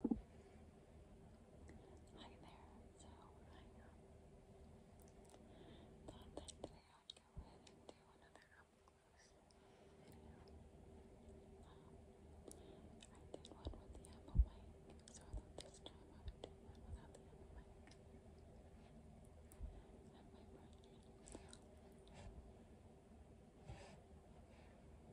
Hi there, so I um, thought that today I'd go ahead and do another up close video. Um, I did one with the Apple mic, so I thought this time I would do one Apple mic.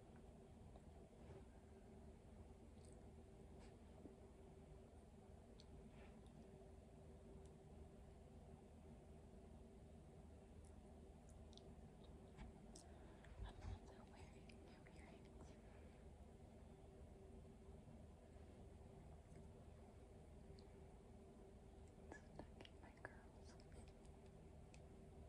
also wearing new earrings. Stuck in my curls. It's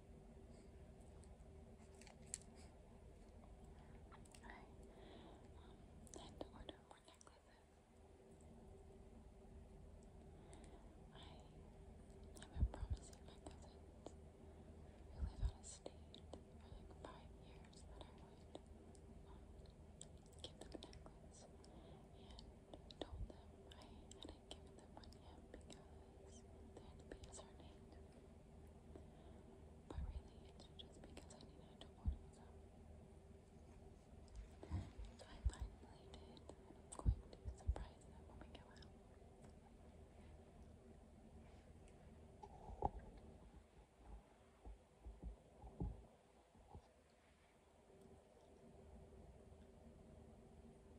I Um, then to order more necklaces. I have been promising my cousins who live out of state for like five years that I would give them a and told them I hadn't given them one because that's because her name. But really, it's just because I needed to warm it So I finally did, and I'm going to surprise them when we go out.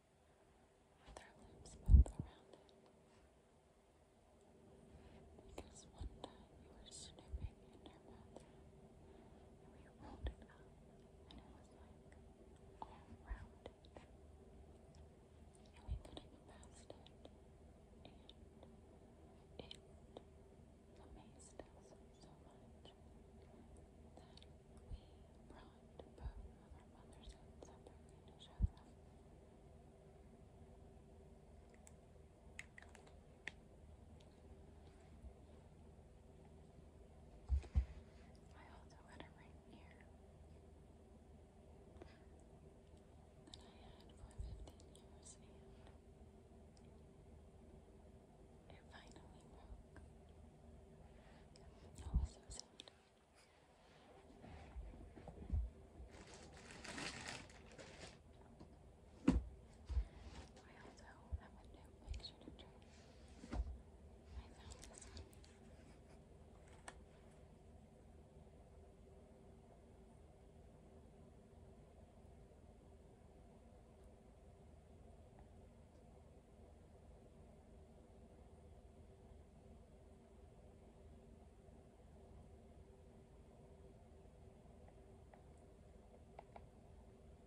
with our lips both around it. Because one time you were snooping in and we rolled it and it was like all around it. And we couldn't get it. And it amazed us so much that we bond, both I also had a ring here that I had for 15 years and it finally broke. I was so sad also have a new picture to turn. I found this one.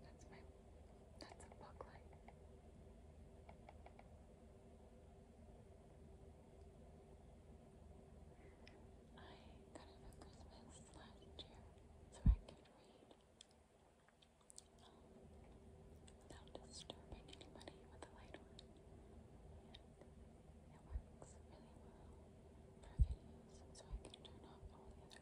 That's my that's a bug I got it for Christmas last year so I could read without disturbing anybody with a light it works really well for videos, so I can turn off all the other lights.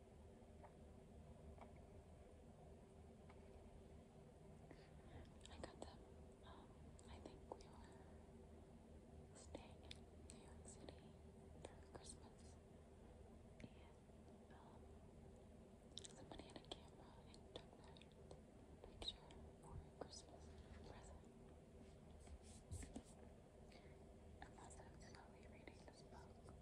I got them, um, I think we were staying in New York City for Christmas, and, um, somebody had a camera and took that picture for a Christmas present. I'm also slowly reading this book.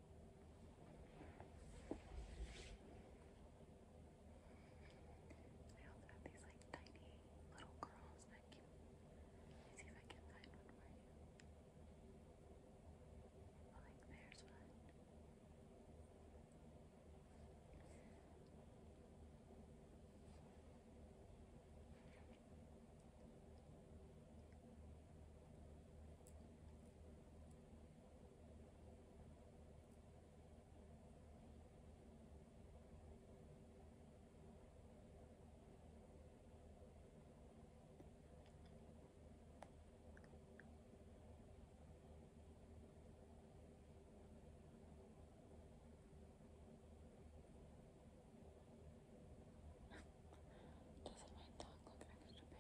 I also have these like tiny little curls that I can see if I can find one for you. Well, like there's one. Doesn't my dog look like a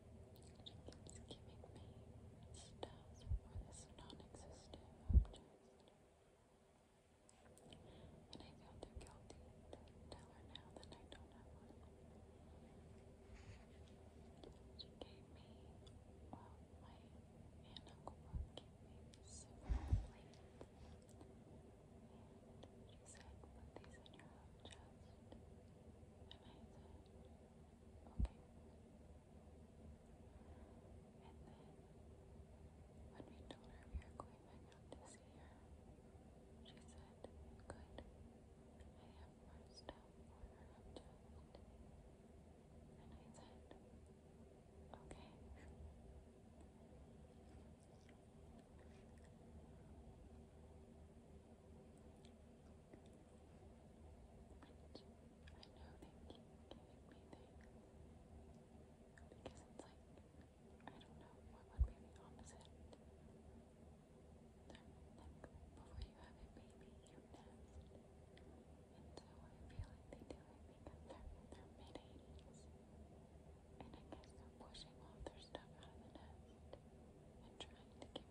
She keeps giving me stuff for this non-existent object. And I feel guilty to tell her now that I don't have one. She gave me, well, my aunt and uncle gave me several plates. And she said, put these in your own chest. And and then, when we told her we were going out to see her, she said, Good, I have more stuff for her object. And I said, Okay. Which I know they keep giving me things because it's like, I don't know, what would be the opposite? They're like, before you have a baby, you nest. And so I feel like they do it because they're, they're mid And I guess they're pushing all their stuff out of the nest and trying to give